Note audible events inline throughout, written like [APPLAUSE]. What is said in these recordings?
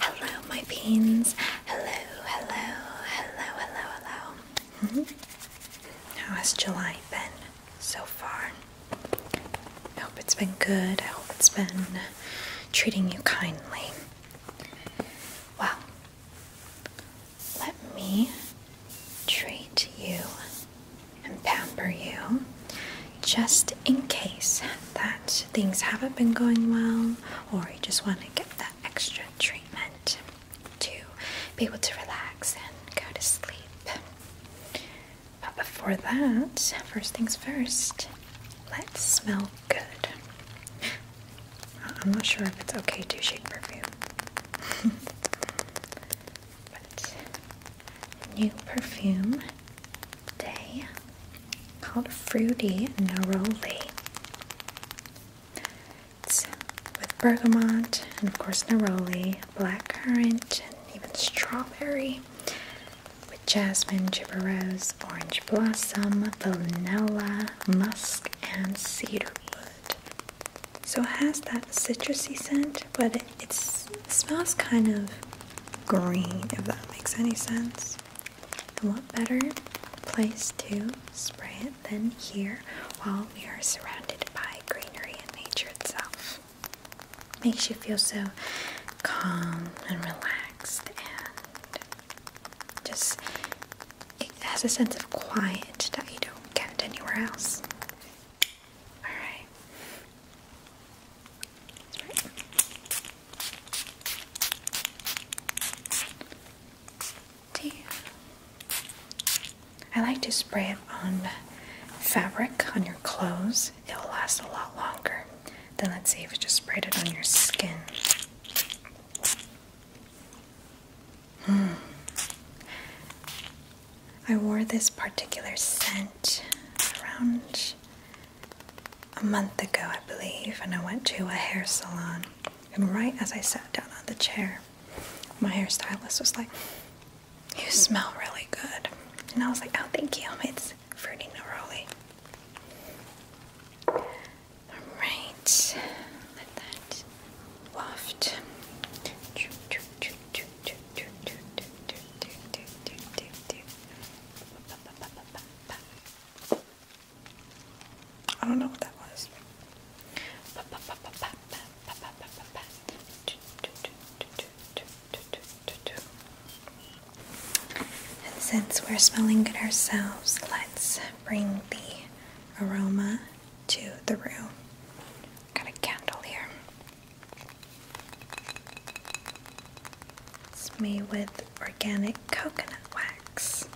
Hello, my beans. Hello, hello, hello, hello, hello. Hmm? How has July been so far? I hope it's been good. I hope it's been treating you kindly. Well, let me treat you and pamper you just in case that things haven't been going well or you just want to get that extra treatment to be able to relax and go to sleep. But before that, first things first, let's smell Good. I'm not sure if it's okay to shake perfume. [LAUGHS] but new perfume day called Fruity Neroli. It's with bergamot and of course neroli, black currant, and even strawberry with jasmine, gibberose, orange blossom, vanilla, musk, and cedarwood. So it has that citrusy scent, but it, smells kind of green, if that makes any sense. And what better place to spray it than here while we are surrounded by greenery and nature itself? Makes you feel so calm and relaxed and just it has a sense of quiet that you don't get anywhere else. Alright. I like to spray it on fabric on your clothes. It'll last a lot longer than let's say if you just sprayed it on your skin. I wore this particular scent around a month ago, I believe, and I went to a hair salon. And right as I sat down on the chair, my hairstylist was like, You smell really good. And I was like, Oh, thank you. It's Fruity Neroli. Alright, let that waft. I don't know what that was. And since we're smelling good ourselves, let's bring the aroma to the room. Got a candle here. It's made with organic coconut wax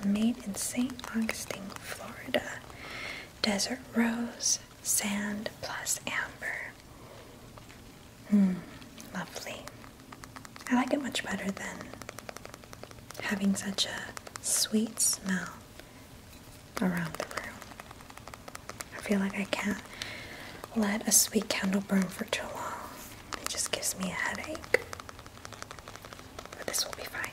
and made in St. Augustine, Florida. Desert rose, sand plus amber. Hmm, lovely. I like it much better than having such a sweet smell around the room. I feel like I can't let a sweet candle burn for too long. It just gives me a headache. But this will be fine.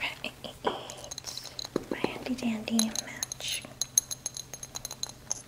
Right, my handy dandy match.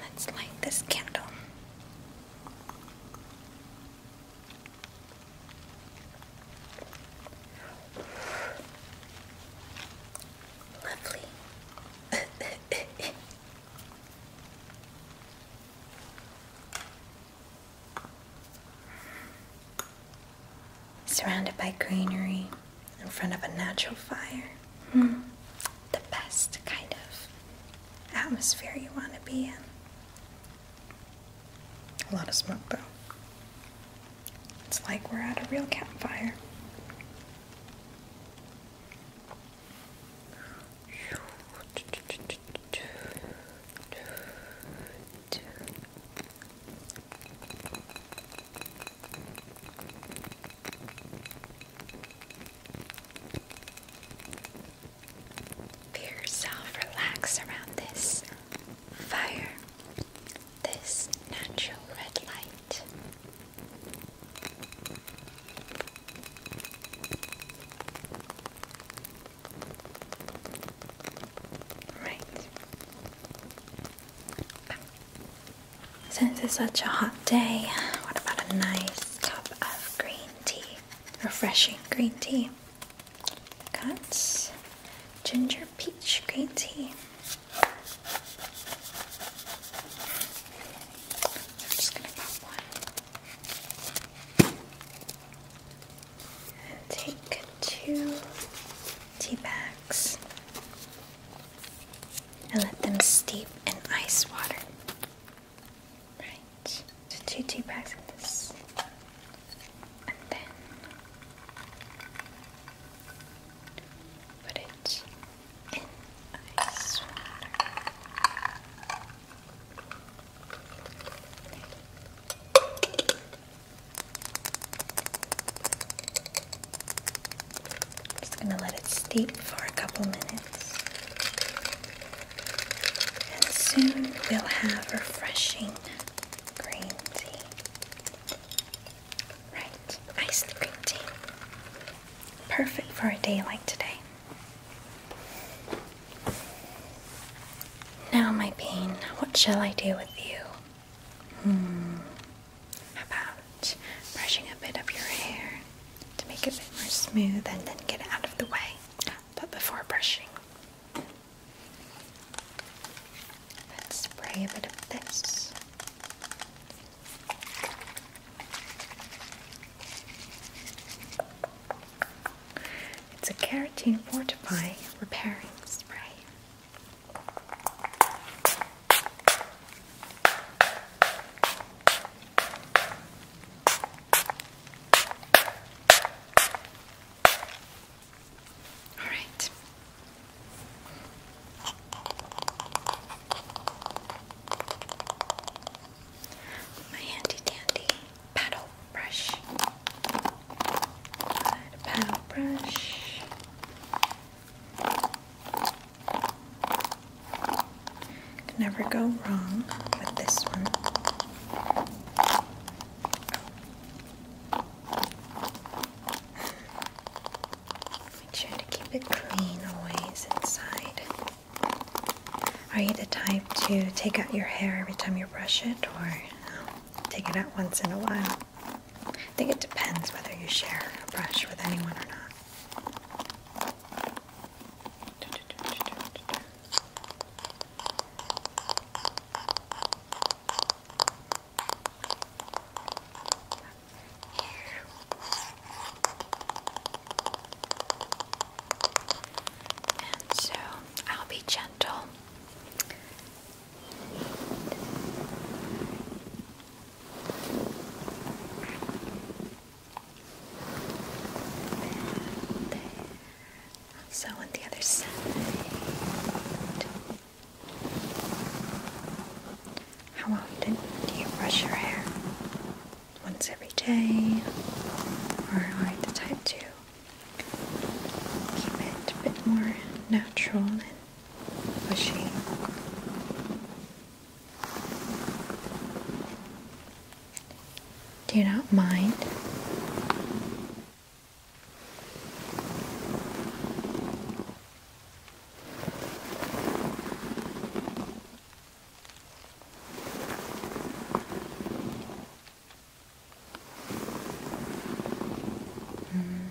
Let's light this candle. Lovely. [LAUGHS] Surrounded by greenery in front of a natural fire. Hmm the best kind of atmosphere you want to be in. A lot of smoke, though. It's like we're at a real campfire. Feel yourself relax around this fire, this natural red light. Right. Since it's such a hot day, what about a nice cup of green tea, refreshing green tea. Cuts, ginger peach green tea. just gonna pop one and take two tea bags and let them steep in ice water. Right, so two tea bags of this, and then put it in ice water. Just gonna let it steep for a couple minutes. And soon we'll have refreshing green tea. Right, iced green tea. Perfect for a day like today. Now, my bean, what shall I do with you? Hmm, about brushing a bit of your hair? to make it a bit more smooth and then get it out of the way. But before brushing, let's spray a bit of this. It's a carotene fortify repairing spray. All right. My handy dandy paddle brush. Good paddle brush. Can never go wrong with this one. Make sure to keep it clean always inside. Are you the type to take out your hair every time you brush it or take it out once in a while? I think it depends whether you share a brush with anyone or not. And so I'll be gentle. So on the other side. How often do you brush your hair? Once every day? Or are you the type to keep it a bit more natural and bushy? Do you not mind? Mm.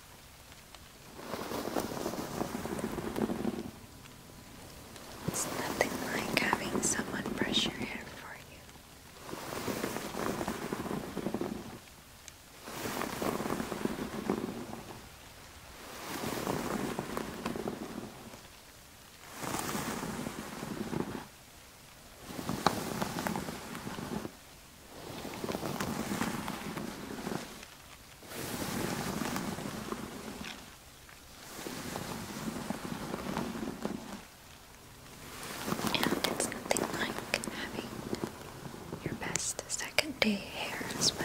It's nothing like having someone brush your hair for you. And it's nothing like having your best second day hair as well.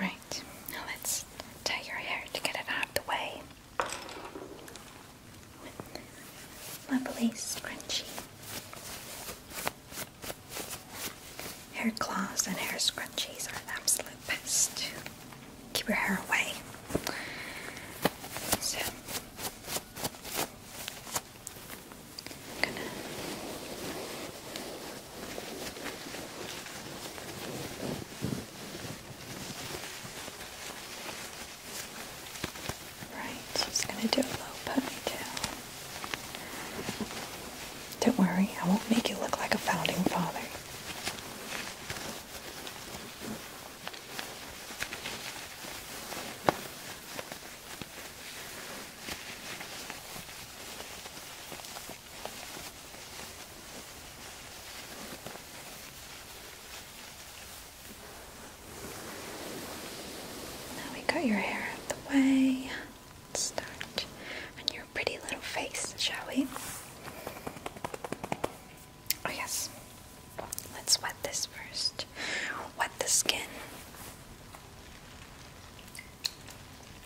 Right, now let's tie your hair to get it out of the way with lovely scrunchie. hair claws and hair scrunchies are the absolute best. Keep your hair away. So Right, just gonna do a low ponytail. Don't worry, I won't make you look like a founding father. Now we got your hair out of the way. Let's start on your pretty little face, shall we? Oh, yes. Let's wet this first. Wet the skin.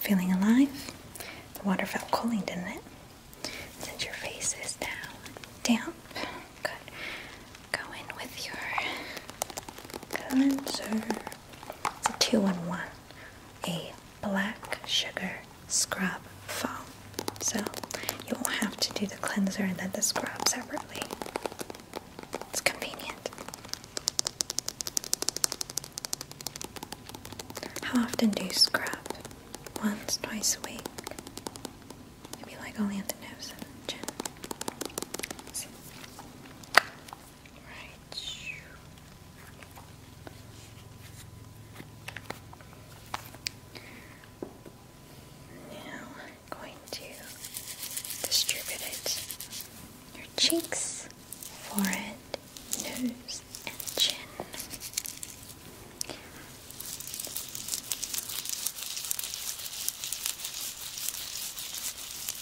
Feeling alive? The water felt cooling, didn't it? And your face is now damp, good. Go in with your cleanser. It's a two-in-one, a black sugar scrub foam. So you won't have to do the cleanser and then the scrub separately. It's convenient. How often do you scrub? Once, twice a week. Maybe like only on the nose and chin. Now going to distribute it your cheeks, forehead, nose, and chin.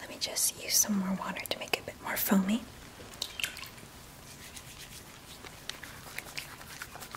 Let me just use some more water to make it a bit more foamy.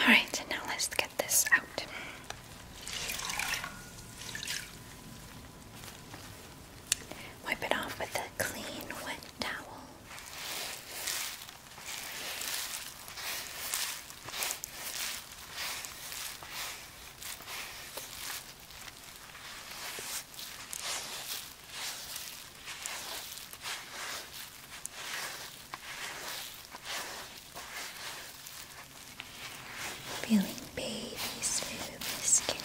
Alright, now let's get this out. Wipe it off with a clean wet towel. Feeling baby smooth skin.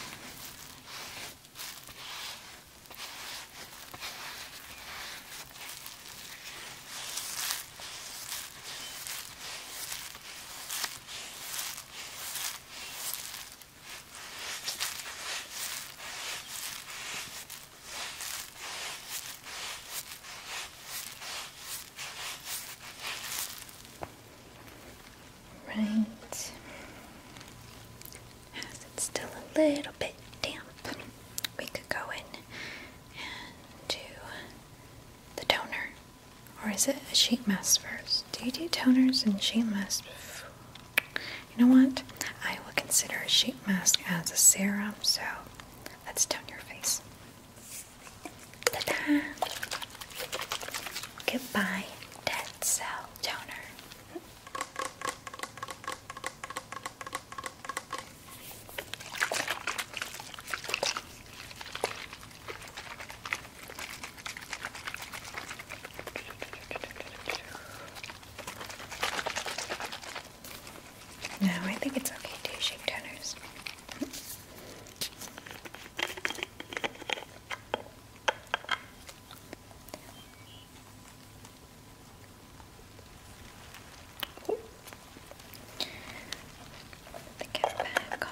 Right, it's still a little bit damp, we could go in and do the toner. Or is it a sheet mask first? Do you do toners and sheet masks you know what? I will consider a sheet mask as a serum, so let's tone your face. Ta da! Goodbye, Dead Cell Toner. No, I think it's okay to use shape toners. Put the cap back on.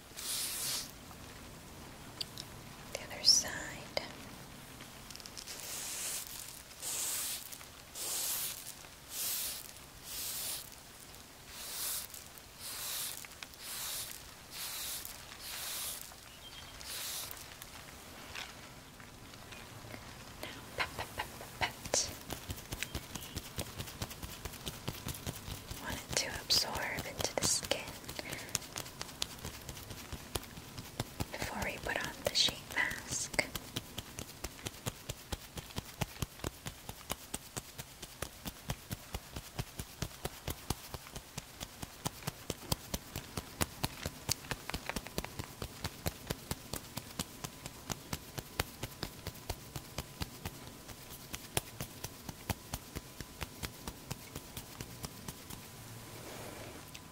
The other side. Now, pet, pet, pet, pet, want it to absorb into the skin before we put on the sheet mask.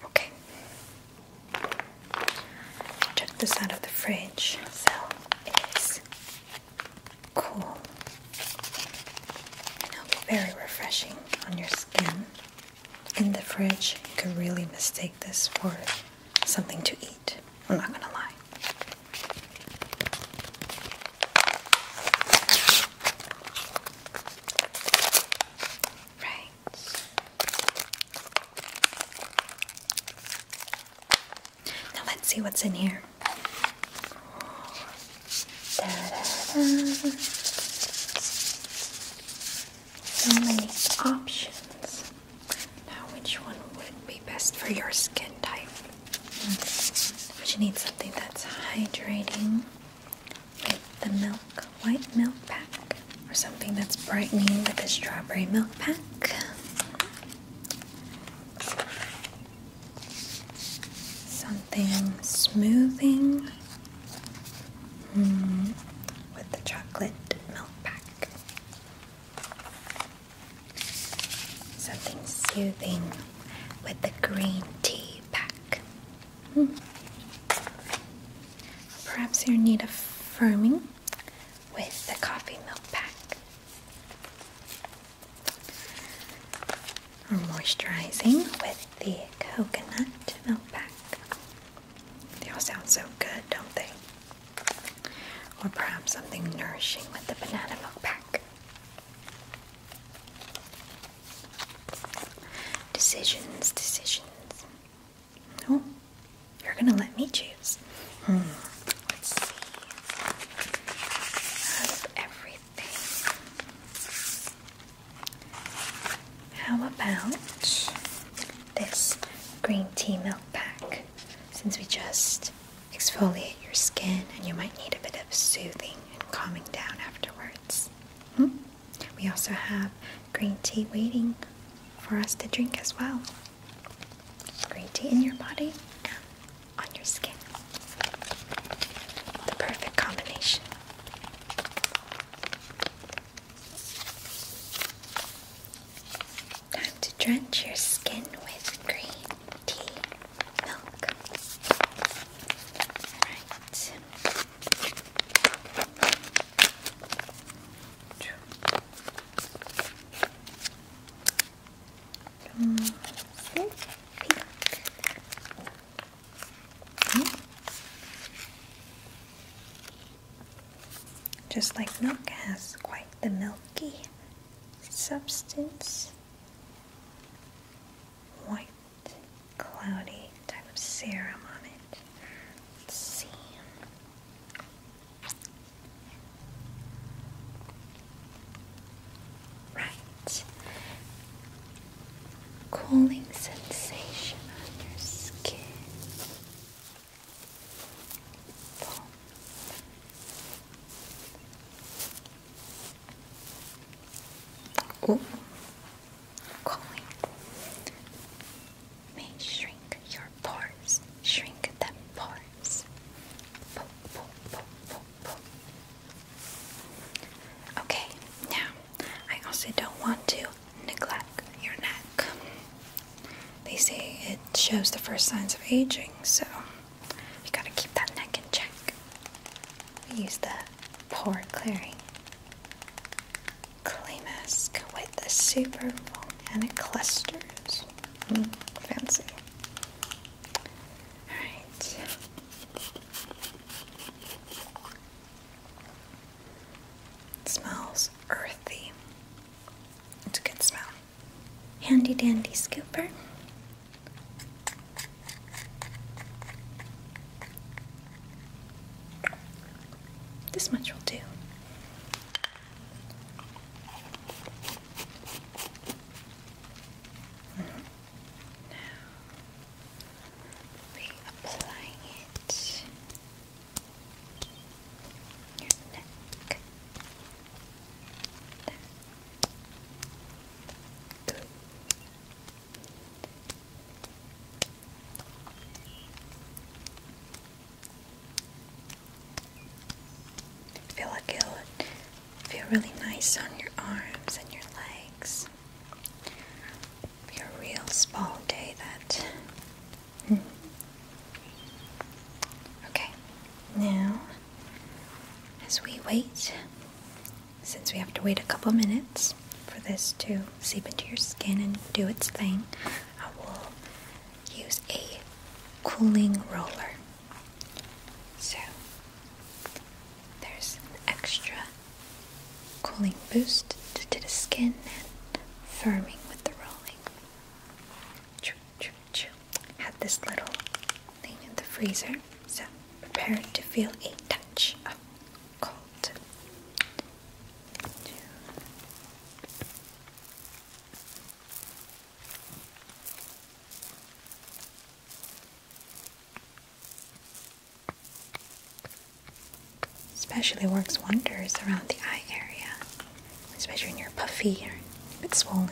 Okay. Took this out of the fridge, so it is cool. And it'll be very refreshing on your skin. In the fridge, you could really mistake this for something to eat. I'm not gonna lie. Right. Now let's see what's in here. So many options. Now, which one would be best for your skin type? But you need something that's hydrating with the milk, white milk pack, or something that's brightening with the strawberry milk pack. Something smoothing mm, with the chocolate milk pack. Something soothing with the green tea pack. Hmm. Perhaps your need of firming with the coffee milk pack. Or moisturizing with the coconut milk pack. They all sound so good, don't they? Or perhaps something nourishing with the banana milk pack. Decisions, decisions. No, oh, you're gonna let me choose. Hmm. Let's see. everything, how about this green tea milk pack? since we just exfoliate your skin and you might need a bit of soothing and calming down afterwards. Hmm? We also have green tea waiting for us to drink as well. Green tea in your body and on your skin. The perfect combination. Time to drench your skin with green tea milk. Alright. Mm. Just like milk has quite the milky substance, white, cloudy type of serum on it. Let's see. Right. Cooling sensation on your skin. Pull. Oh, calling. May shrink your pores, shrink them pores. Okay, now I also don't want to neglect your neck. They say it shows the first signs of aging, so we gotta keep that neck in check. We use the pore clearing clay mask with the super and it clusters. Hmm, fancy. Alright. Smells earthy. It's a good smell handy dandy scooper. This much will do. Mm-hmm. Now we apply it your neck. Good. Feel like it would feel really nice on your arms and your legs. Be a real spa day that. Hmm, Okay, now as we wait, since we have to wait a couple minutes for this to seep into your skin and do its thing, I will use a cooling roller. So there's an extra cooling boost to the skin and firming with the rolling had this little thing in the freezer, so prepare to feel a touch of cold. Especially works wonders around the eye area, especially when you're puffy or a bit swollen.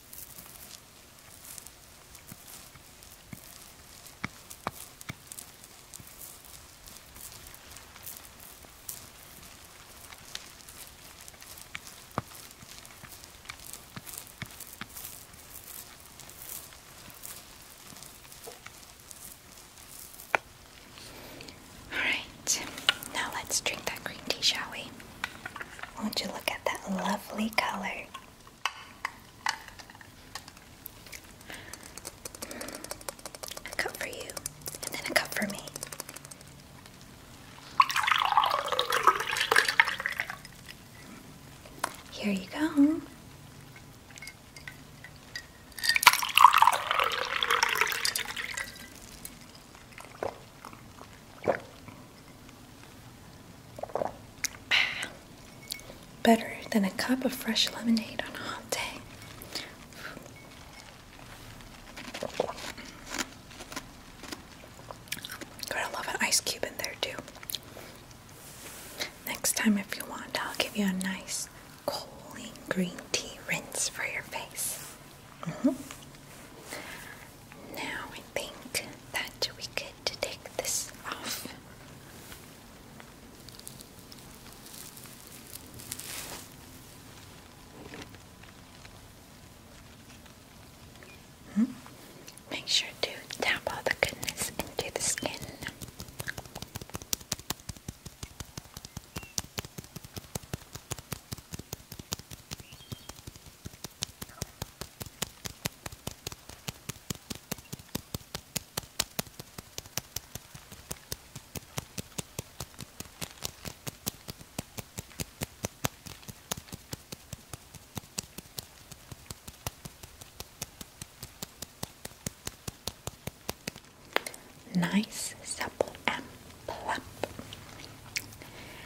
All right, now let's drink that green tea, shall we? Won't you look at that lovely color? A cup for you, and then a cup for me. Here you go. [SIGHS] Better than a cup of fresh lemonade on a hot day. [SIGHS] Gotta love an ice cube in there too. Next time, if you want, I'll give you a nice cooling green tea rinse for your face. Mm-hmm. Now I think that we could take this off. Hmm? Make sure to tap all the goodness into the skin. Nice, supple, and plump.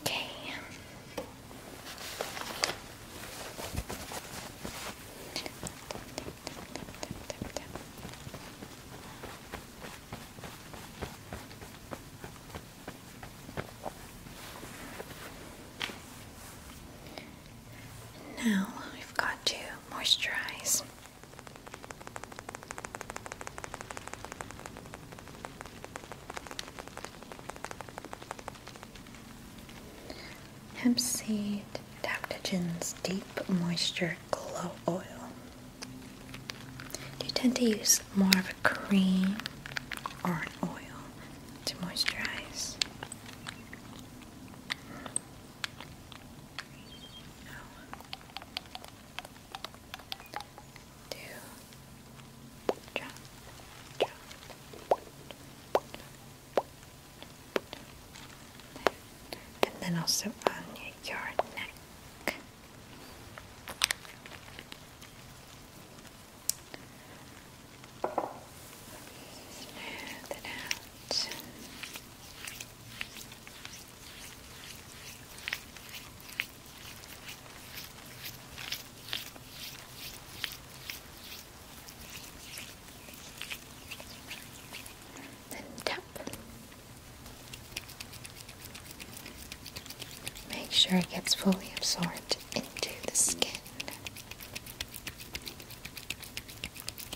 Okay. Now I've got to moisturize Hempseed, Hemp adaptogens deep moisture glow oil. Do you tend to use more of a cream or an oil to moisturize? Do drop, drop. And then also on your neck. Smooth it out. Then tap. Make sure it gets fully absorbed into the skin.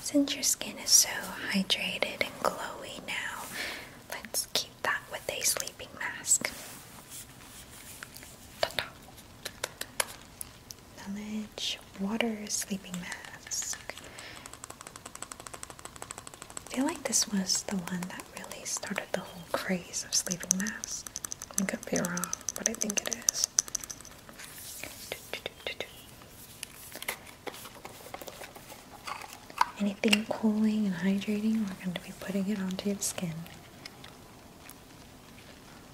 since your skin is so hydrated and glowy now, let's keep that with a sleeping mask. Knowledge water sleeping mask. I feel like this was the one that really started the whole craze of sleeping masks. I could be wrong, but I think it is. Anything cooling and hydrating, we're going to be putting it onto your skin.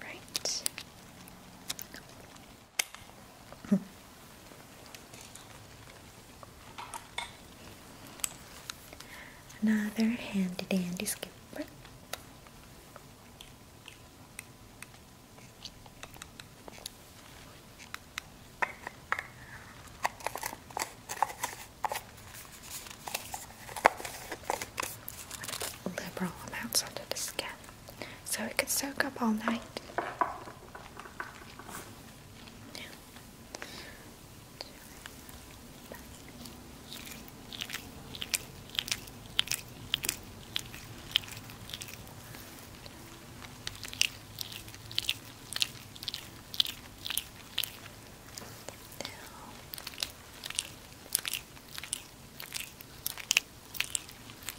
Right. [LAUGHS] Another handy dandy skipper liberal amounts under the skin so it could soak up all night.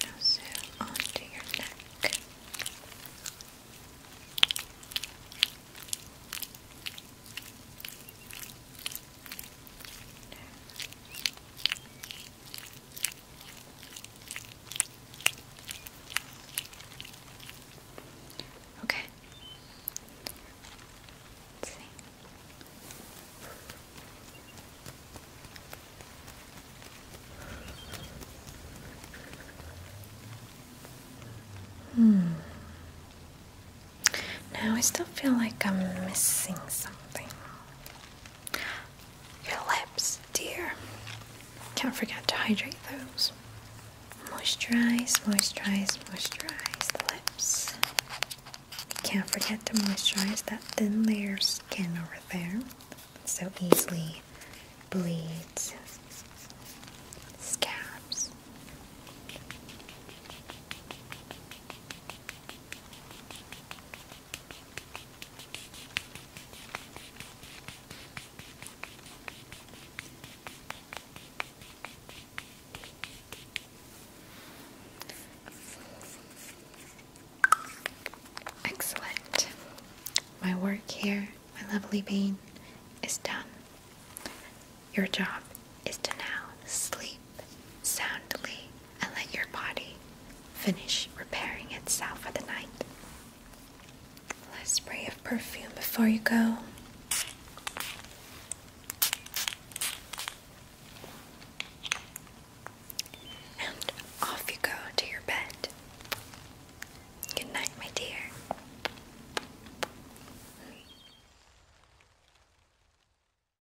Now, so onto your neck. Okay. Let's see. Hmm. Now I still feel like I'm missing something. Your lips, dear. Can't forget to hydrate those. Moisturize, moisturize, moisturize the lips. Can't forget to moisturize that thin layer of skin over there so easily bleeds, scabs. Excellent. My work here, my lovely bean, is done. Your job is to now sleep soundly and let your body finish repairing itself for the night. Let's spray of perfume before you go. And off you go to your bed. Good night, my dear.